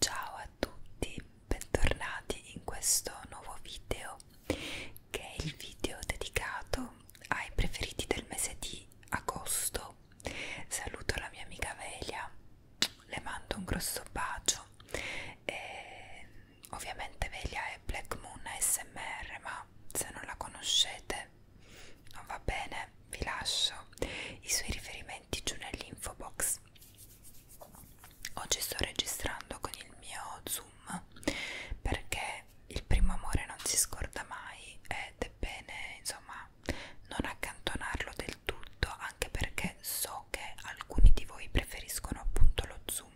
Ciao a tutti, bentornati in questo nuovo video che è il video dedicato ai preferiti del mese di agosto. Saluto la mia amica Velia le mando un grosso bacio e ovviamente Velia è Black Moon ASMR ma se non la conoscete non va bene vi lascio i suoi riferimenti giù nell'info box oggi sto registrando con il mio zoom perché il primo amore non si scorda mai ed è bene insomma non accantonarlo del tutto anche perché so che alcuni di voi preferiscono appunto lo zoom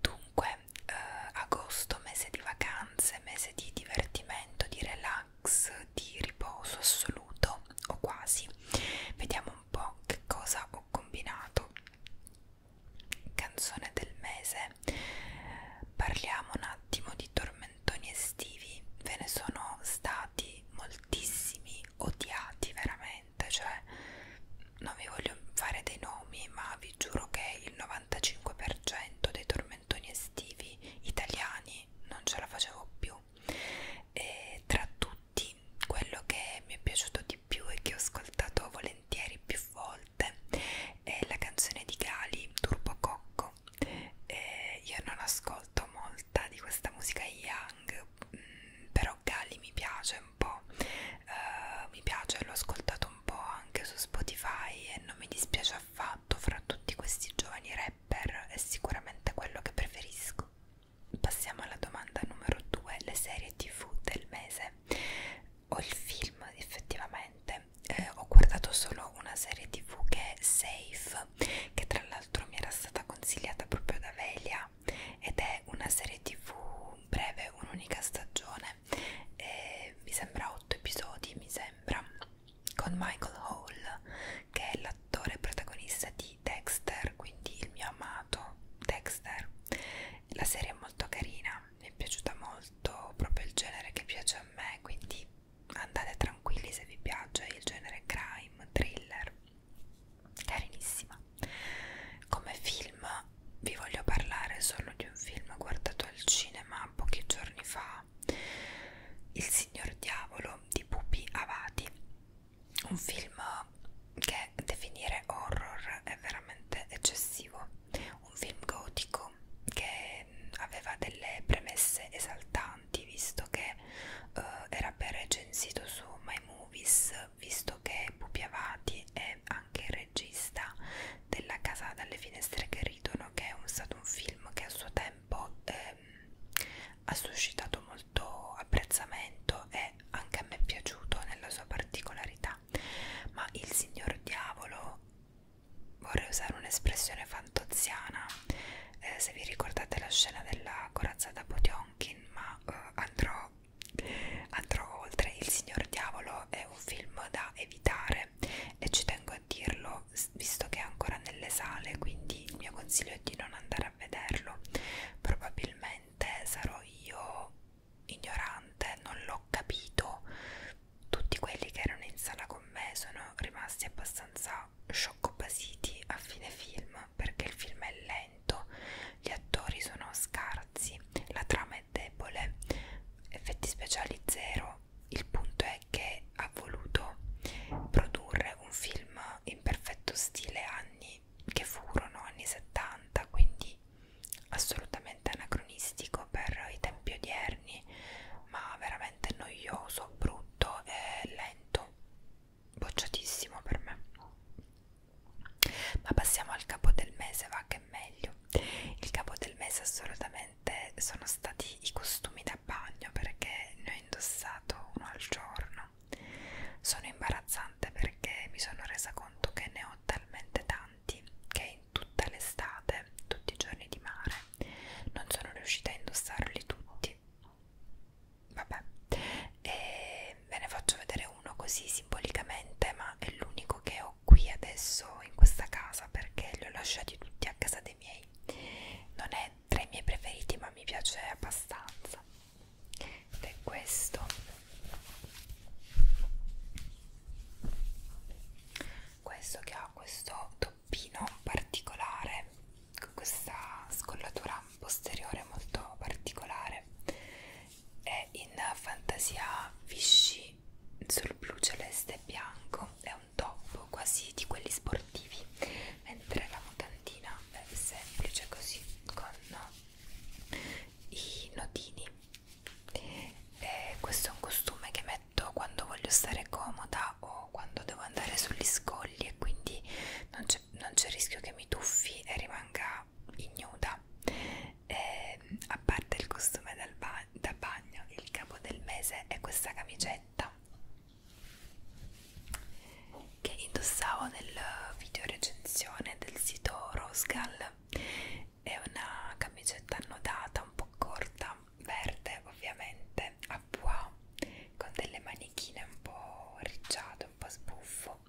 dunque eh, agosto mese di vacanze mese di divertimento di relax di riposo assoluto o quasi vediamo un po che cosa ho combinato canzone del mese parliamo un attimo di tormentoni estivi ve ne sono stati molti, moltissimi odiati veramente, cioè non vi voglio fare dei nomi, ma vi giuro che il 95% dei tormentoni estivi italiani non ce la facevo più. E tra tutti, quello che mi è piaciuto di più e che ho ascoltato volentieri più volte è la canzone di Gali, Turbo Cocco. E io non ascolto molta di questa musica young però Galli mi piace un po', eh, mi piace, l'ho ascoltato un po' anche su Spotify e non mi dispiace affatto fra tutti questi giovani rapper, è sicuramente quello che preferisco. Passiamo alla domanda numero 2, le serie tv del mese o il film effettivamente. Eh, ho guardato solo una serie tv che è Safe, che tra l'altro l'altro mi era stata consigliata proprio da Velia ed è una serie tv breve, un'unica stagione e mi sembra 8 episodi, mi sembra con Michael Hall che è l'attore protagonista di Dexter, quindi il mio amato Dexter la serie è molto carina, mi è piaciuta molto, proprio il genere che piace a me quindi andate tranquilli se vi piace il genere crime, thriller carinissima come film vi voglio parlare solo di un film guardato al cinema pochi giorni fa Il signor diavolo di Pupi Avati un film che definire horror è veramente eccessivo un film gotico che aveva delle premesse esaltanti avanti visto che uh, era ben recensito su My Movies visto che Pupi Avati è anche il regista della Casa dalle finestre che ridono che è un, stato un film che a suo tempo ehm, ha suscitato molto apprezzamento e anche a me è piaciuto nella sua particolarità ma il signor diavolo vorrei usare un'espressione fantoziana eh, se vi ricordate la scena della corazzata Potionkin ma eh, andrò, andrò oltre Il Signor Diavolo è un film da evitare e ci tengo a dirlo visto che è ancora nelle sale quindi il mio consiglio è di non andare a vederlo probabilmente sarò io ignorante non l'ho capito tutti quelli che erano in sala con me sono rimasti abbastanza scioccopasiti a fine film perché il film è lento, gli attori sono scarsi, la trama è debole, effetti speciali zero. Il punto è che ha voluto produrre un film in perfetto stile anni che furono anni 70, quindi assolutamente anacronistico per i tempi odierni, ma veramente noioso, brutto e lento bocciato bocciatissimo per me ma passiamo al capo del mese va che è meglio il capo del mese assolutamente sono stati i costumi da bagno perché ne ho indossato uno al giorno sono imbarazzante perché mi sono resa conto che ne ho talmente tanti che in tutta l'estate tutti i giorni di mare non sono riuscita a indossarli tutti sì, vabbè, e ve ne faccio vedere uno così simbolicamente, ma è l'unico che ho qui adesso in questa casa perché li ho lasciati tutti a casa dei miei. Non è tra i miei preferiti, ma mi piace abbastanza. Ed è questo. Questo che ha questo toppino particolare con questa scollatura posteriore molto particolare è in fantasia Vichy sul blu celeste e bianco è un top quasi di quelli sportivi mentre la mutandina è semplice così con i nodini e questo è un costume che metto letto quando voglio stare comoda o quando devo andare sugli scogli e quindi non c'è rischio che mi tuffi e rimanga ignuda e, ehm, a parte il costume dal ba da bagno il capo del mese è questa camicetta che indossavo nel video recensione del sito Rosgal è una camicetta annodata un po' corta verde ovviamente a pois con delle manichine un po' ricciate, un po' sbuffo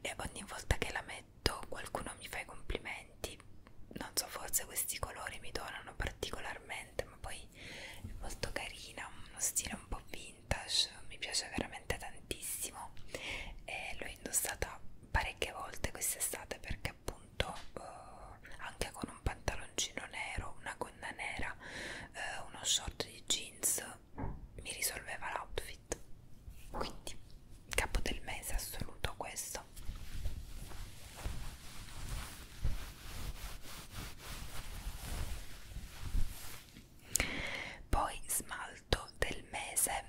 e ogni volta che la metto qualcuno mi fa i complimenti non so forse questi colori mi donano particolarmente ma poi è molto carina uno stile un po' vintage mi piace veramente tantissimo e l'ho indossata parecchie volte quest'estate perché appunto eh, anche con un pantaloncino nero, una gonna nera, eh, uno short di jeans mi risolveva l'outfit quindi capo del mese assoluto questo poi smalto del mese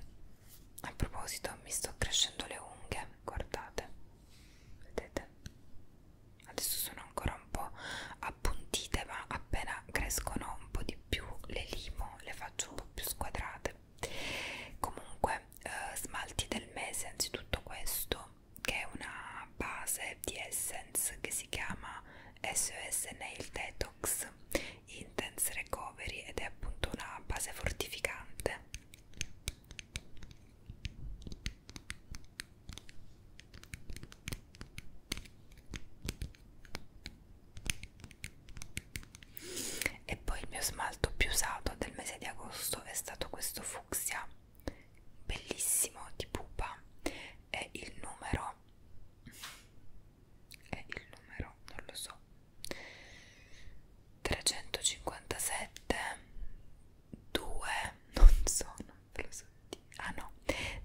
a proposito mi sto crescendo le unghie guardate vedete adesso sono ancora un po' appuntite ma appena crescono un po' di più le limo le faccio un po' più squadrate comunque eh, smalti del mese anzitutto questo che è una base di essence che si chiama SOS Nail Detox Intense Recovery ed è appunto una base fortificante e poi il mio smalto più usato del mese di agosto è stato questo fucsia, bellissimo di pupa. E il numero è il numero, non lo so. 357 2 non so, non ve lo so dire. Ah no,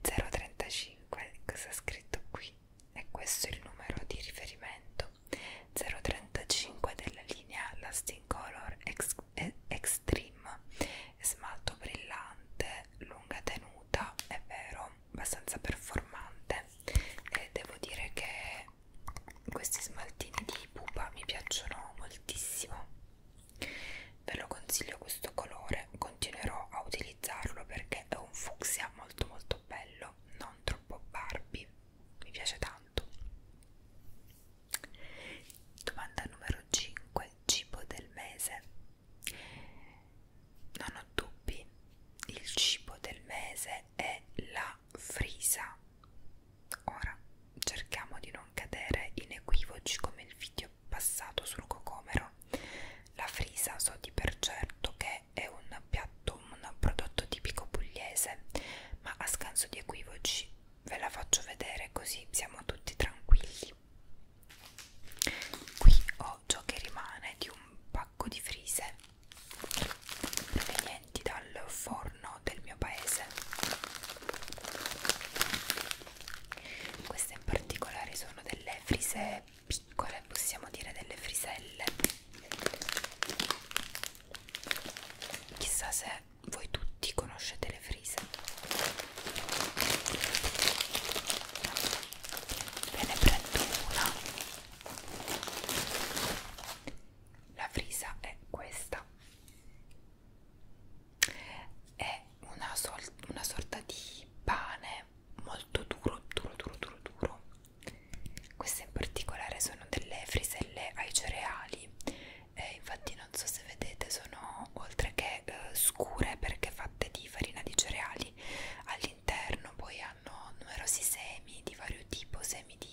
035, cosa è scritto qui? E questo è il numero di riferimento 035 della linea Lasting Color Ex Extreme smalto brillante, lunga tenuta, è vero, abbastanza performante e devo dire che questi smaltini di pupa mi piacciono moltissimo Ve lo consiglio questo colore, continuerò a utilizzarlo perché è un fucsia molto molto bello, non troppo Barbie, mi piace tanto. Domanda numero 5, cibo del mese. Non ho dubbi, il cibo del mese è la frisa. Ora cerchiamo di non cadere in equivoci come il video passato sul cocomero. La frisa so di per certo che è un piatto, un prodotto tipico pugliese, ma a scanso di equivoci ve la faccio vedere così siamo tutti tranquilli. Qui ho ciò che rimane di un pacco di frise provenienti provenienti dal forno del mio paese. Queste in particolare sono delle frise piccole, possiamo dire delle friselle. Chissà se voi tutti conoscete le frise. Ve ne prendo una. La frisa è questa è una, sol una sorta di pane molto duro, duro, duro, duro, duro. Queste in particolare sono delle friselle ai cereali, eh, infatti non so se vedete sono oltre che eh, scure perché fatte di farina di cereali all'interno, poi hanno numerosi semi di vario tipo, semi di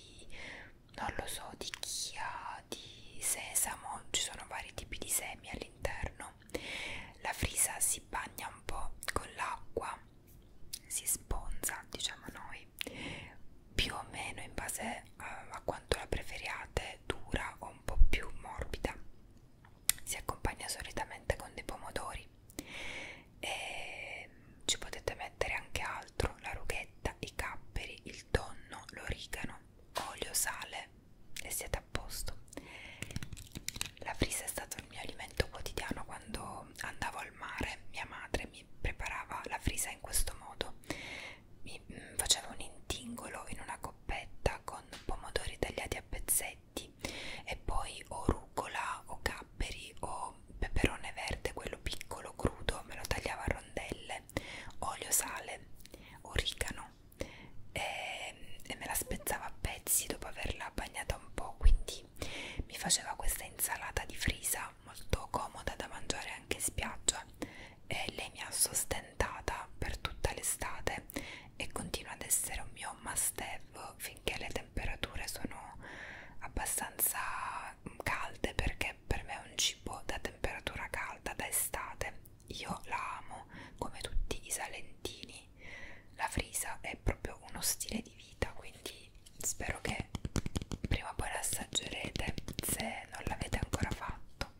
non lo so di chia, di sesamo, ci sono vari tipi di semi all'interno. La frisa si bagna un po' con l'acqua, si sponza, diciamo noi, più o meno in base a, eh, a quanto la preferiate, dura o un po' più morbida. Si accompagna solitamente con dei pomodori e ci potete mettere anche altro, la rughetta, i capperi, il il tonno, l'origano, olio, sale e siete a posto. La frisa è stato il mio alimento quotidiano quando andavo al mare. Mia madre mi preparava la frisa in questo modo: mi mm, faceva un intingolo in una coppetta con pomodori tagliati a pezzetti e poi o rucola o capperi o peperone verde, quello piccolo crudo, me lo tagliava a rondelle sale, olio sale, origano e, ehm, e me la spezzava a pezzi dopo averla bagnata un po', quindi mi faceva questa insalata di frisa molto comoda da mangiare anche in spiaggia e lei mi ha sostentata per tutta l'estate e continua ad essere un mio must have finché le temperature sono abbastanza calde perché per me è un cibo da temperatura calda, da estate. Io la amo come tutti i salentini. La frisa è proprio uno stile di vita, quindi spero che prima o poi la assaggerete se non l'avete ancora fatto.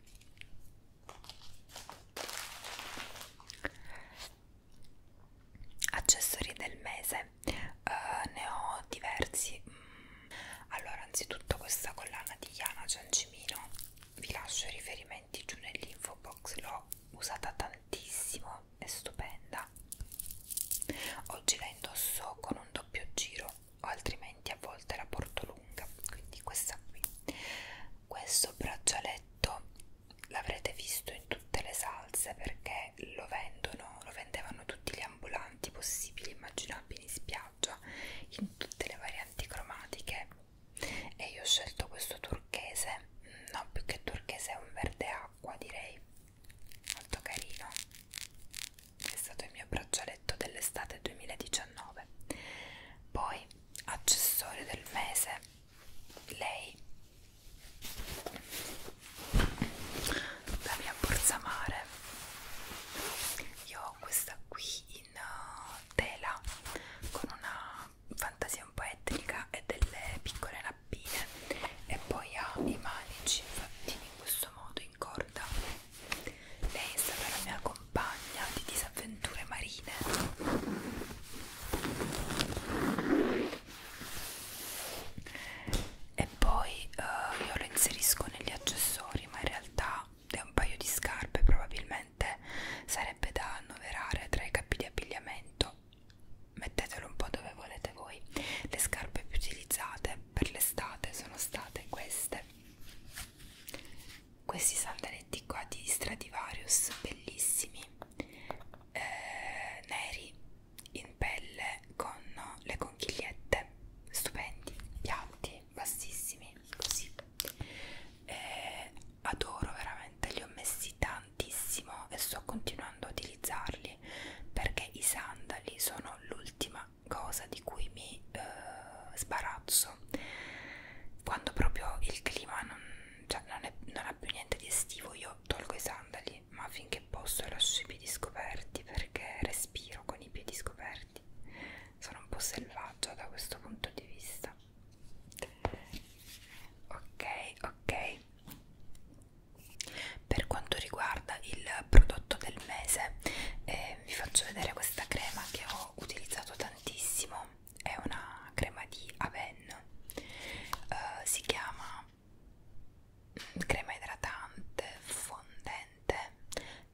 Accessori del mese bene uh, ne ho diversi mm. allora anzitutto questa collana di Iana Giancimino vi lascio i riferimenti giù nell'info box l'ho usata tantissimo è stupenda oggi la indosso con un doppio giro o altrimenti a volte la porto lunga quindi questa qui questo braccialetto l'avrete visto in tutte le salse perché lo vendono lo vendevano tutti gli ambulanti avanti possibili immaginabili in spiaggia in tutte le varianti cromatiche e io ho scelto questo turchese mm, no più che turchese è un verde acqua direi molto carino è stato il mio braccialetto dell'estate 2019 poi accessorio del mese lei la mia porzamare io ho questa qui in uh, tela con una fantasia un po' etnica e delle piccole nappine e poi ha i manici fatti in questo modo in corda lei è stata la mia compagna di disavventure marine e poi uh, io lo inserisco negli accessori ma in realtà è un paio di scarpe probabilmente sarebbe da annoverare tra i capi di abbigliamento mettetelo un po' dove volete voi le scarpe più utilizzate per l'estate sono state queste questi sandaletti qua di Stradivarius bellissimi eh, neri in pelle con le conchigliette stupendi, piatti, bassissimi, così e adoro veramente, li ho messi tantissimo e sto continuando a utilizzarli perché i sandali sono l'ultima cosa di cui mi eh, sbarazzo quando proprio il clima non, cioè non, è, non ha più niente di estivo io tolgo i sandali piedi, ma finché posso lascio i piedi scoperti perché respiro con i piedi scoperti. Sono un po' selvaggia da questo punto di vista. Ok, ok. Per quanto riguarda il prodotto del mese, eh, vi faccio vedere questa crema che ho utilizzato tantissimo. È una crema di Aven, eh, si chiama crema idratante fondente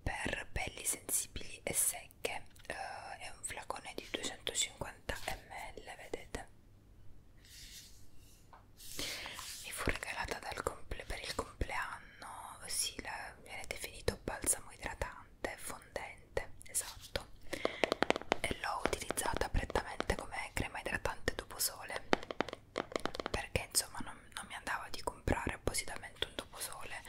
per pelli sensibili e secche uh, è un flacone di 250 ml vedete mi fu regalata dal comple per il compleanno sì, la, viene definito balsamo idratante fondente esatto e l'ho utilizzata prettamente come crema idratante dopo sole perché insomma non, non mi andava di comprare appositamente un doposole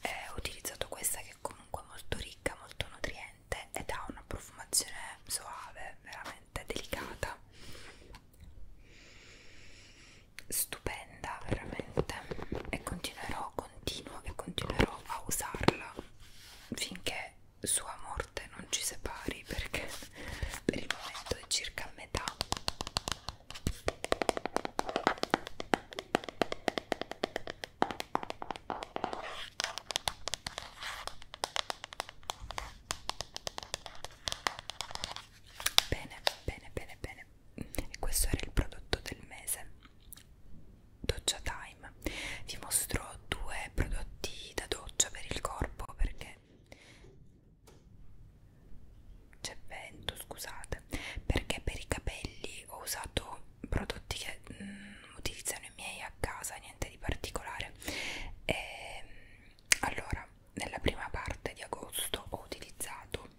eh, ho utilizzato questa che è comunque molto ricca molto nutriente ed ha una profumazione soave veramente delicata stupenda veramente e continuerò continuo e continuerò a usarla finché sua morte non ci separi perché per il momento è circa a metà bene bene bene bene e questo era il prodotto del mese doccia time vi mostro due prodotti da doccia per il corpo perché c'è vento scusate perché per i capelli ho usato prodotti che mm, utilizzano i miei a casa niente di particolare e, ehm, allora nella prima parte di agosto ho utilizzato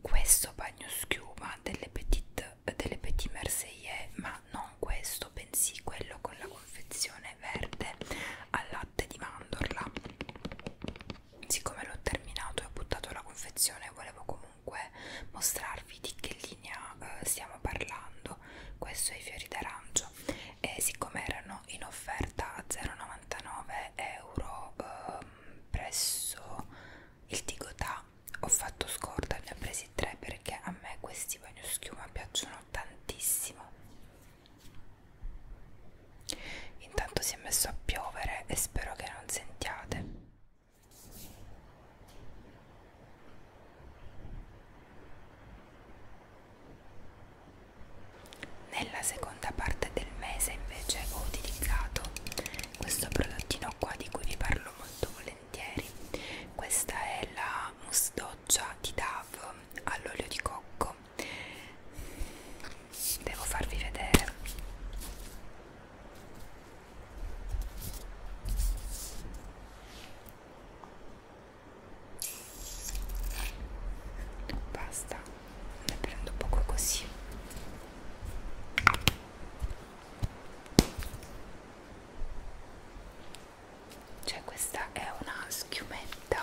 questo bagno schiuma delle Petit, delle Petit Marseillais ma non questo bensì quello con la confezione pane verde al latte di mandorla siccome l'ho terminato e ho buttato la confezione volevo comunque mostrarvi di che linea eh, stiamo parlando questo è i fiori d'arancio e siccome erano in offerta a 0,99 euro eh, presso il Tigotà ho fatto scorta ne ho presi tre perché a me questi bagnoschiuma piacciono tantissimo Intanto si è messo a piovere e spero che non sentiate. Nella seconda parte del mese invece ho utilizzato questo prodottino qua di cui vi parlo molto volentieri. Questa è la mousse doccia di Dao Love all'olio di cocco devo farvi vedere basta ne prendo poco così cioè questa è una schiumetta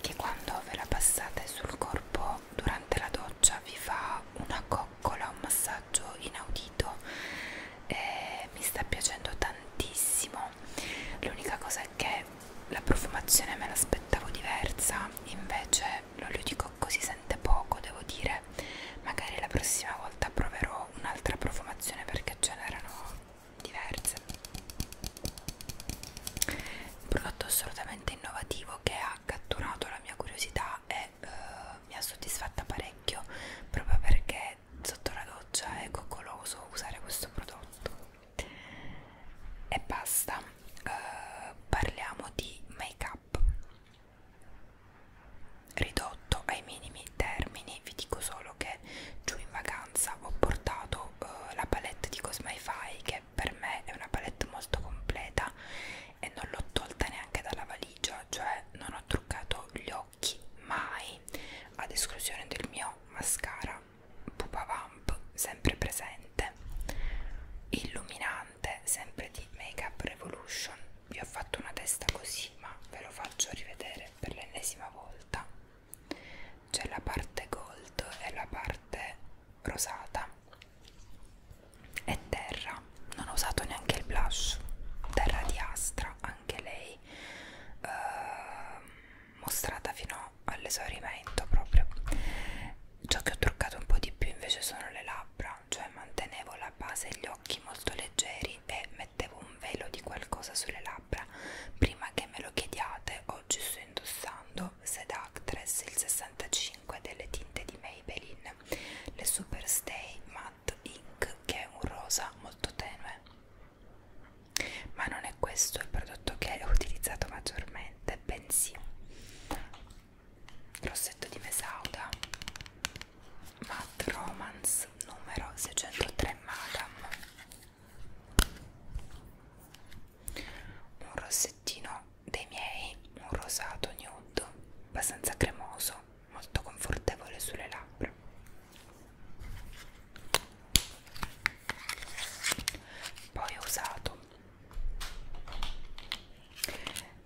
che quando ve la passate sul corpo durante la doccia vi fa una coccola, un massaggio inaudito e mi sta piacendo tantissimo l'unica cosa è che la profumazione me l'aspettavo diversa invece l'olio di cocco si sente poco devo dire magari la prossima volta proverò un'altra profumazione perché ce n'erano diverse un prodotto assolutamente innovativo che ha catturato la mia curiosità e eh, mi ha soddisfatta parecchio proprio perché sotto la doccia è coccoloso usare questo prodotto e basta eh, parliamo di make up ridotto ai minimi termini vi dico solo che giù in vacanza ho portato uh, la palette di Cosmify che per me è una palette molto completa e non l'ho tolta neanche dalla valigia cioè non ho truccato gli occhi mai ad esclusione del mio mascara pupa vamp sempre presente illuminante sempre di Makeup Revolution vi ho fatto una testa così ma ve lo faccio rivedere per l'ennesima volta c'è la parte gold e la parte rosata e terra non ho usato neanche il blush terra di astra anche lei eh, mostrata fino all'esaurimento proprio ciò che ho truccato un po' di più invece sono le labbra arancione mantenevo la base e gli occhi molto leggeri e mettevo un velo di qualcosa sulle labbra. Prima che me lo chiediate, oggi sto indossando Sed Actress il 65 delle tinte di Maybelline, le Superstay Matte Ink, che è un rosa molto tenue. Ma non è questo il prodotto che ho utilizzato maggiormente, bensì rossetto di Mesauda Matt Romance numero 603 Madam un rossettino dei miei, un rosato nude, abbastanza cremoso, molto confortevole sulle labbra poi ho usato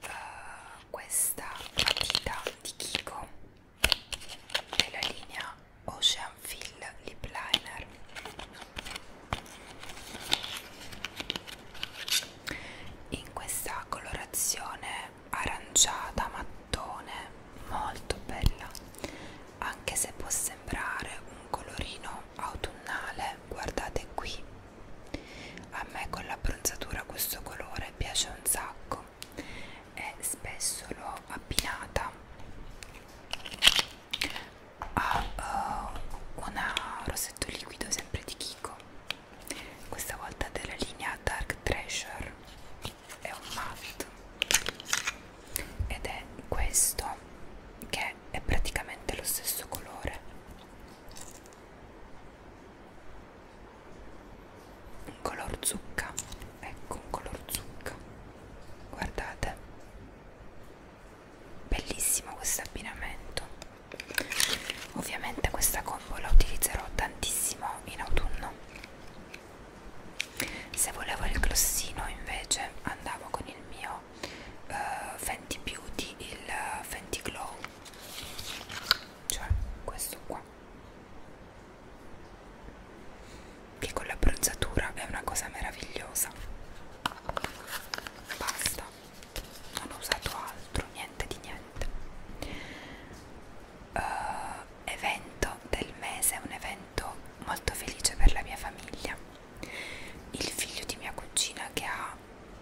uh, questa matita di Kiko della linea Ocean Fill Lip Liner in questa colorazione aranciata mattone molto bella anche se può sembrare un colorino autunnale guardate qui a me con l'abbronzatura questo colore piace un sacco e spesso l'ho abbinata a uh, una rossetto liquido sempre di Kiko, questa volta della linea Dark Treasure, è un matte ed è questo che è praticamente lo stesso colore un color zucca ecco un color zucca guardate bellissimo questo abbinamento ovviamente questa combo la utilizzerò tantissimo in autunno se volevo il glossino invece andavo con il mio uh, Fenty Beauty il eh, Fenty Glow cioè questo qua che con l'abbronzatura è una cosa meravigliosa basta non ho usato altro niente di niente uh, evento del mese è un evento molto felice per la mia famiglia il figlio di mia cugina che ha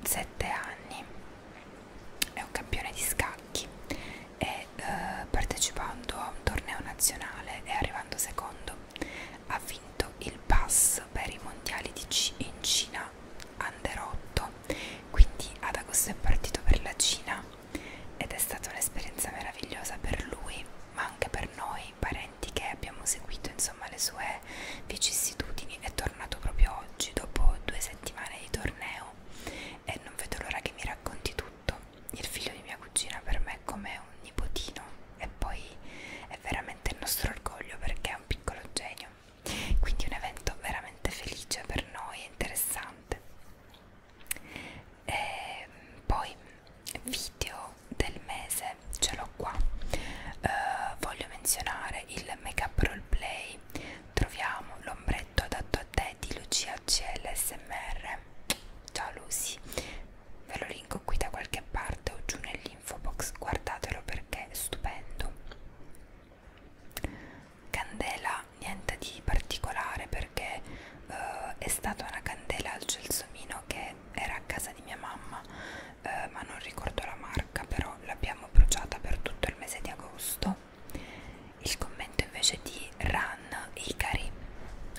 7 anni è un campione di scacchi e eh, partecipando a un torneo nazionale e arrivando secondo ha vinto il pass per i mondiali di C in Cina under 8 quindi ad agosto è partito per la Cina ed è stata un'esperienza meravigliosa per lui ma anche per noi parenti che abbiamo seguito insomma le sue sue vicissitudini è tornato proprio oggi dopo due settimane di torneo e non vedo l'ora che mi racconti tutto il figlio di mia cugina per me è come un nipotino e poi è veramente il nostro orgoglio perché è un piccolo genio quindi un evento veramente felice per noi e interessante e ehm, poi video del mese ce l'ho qua eh, voglio menzionare il make up roleplay ok troviamo l'ombretto adatto a te di Lucia CLSMR ciao Lucy ve lo linko qui da qualche parte o giù nell'info box guardatelo perché è stupendo candela niente di particolare perché uh, è stata una candela al gelsomino che era a casa di mia mamma eh, ma non ricordo la marca però l'abbiamo bruciata per tutto il mese di agosto il commento invece di Ran Ikari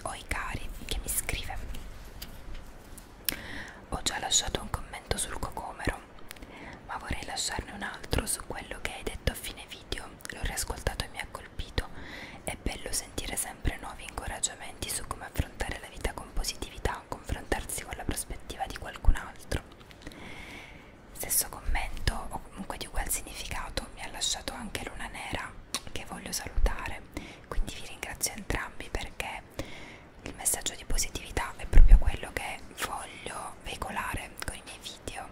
o Ikari che mi scrive ho già lasciato un commento sul cocomero ma vorrei lasciarne un altro su quello che hai detto a fine video l'ho riascoltato e mi ha colpito è bello sentire sempre nuovi incoraggiamenti su come affrontare la vita con positività confrontarsi con la prospettiva di qualcun altro Stesso commento o comunque di ugual significato mi ha lasciato anche Luna Nera che voglio salutare, quindi vi ringrazio entrambi perché il messaggio di positività è proprio quello che voglio veicolare con i miei video,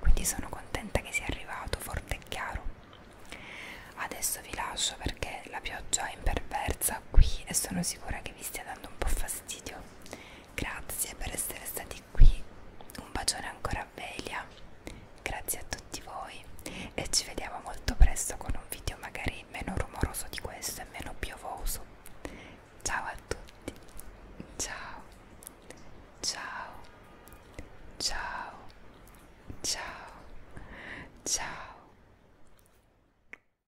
quindi sono contenta che sia arrivato forte e chiaro. Adesso vi lascio perché la pioggia è imperversa qui e sono sicura che vi stia dando un po' fastidio. Grazie per essere stati qui. Un bacione ancora a Velia. Grazie a tutti voi e ci vediamo molto presto con un video magari meno rumoroso di questo e meno piovoso. Ciao a tutti. Ciao. Ciao. Ciao. Ciao. Ciao.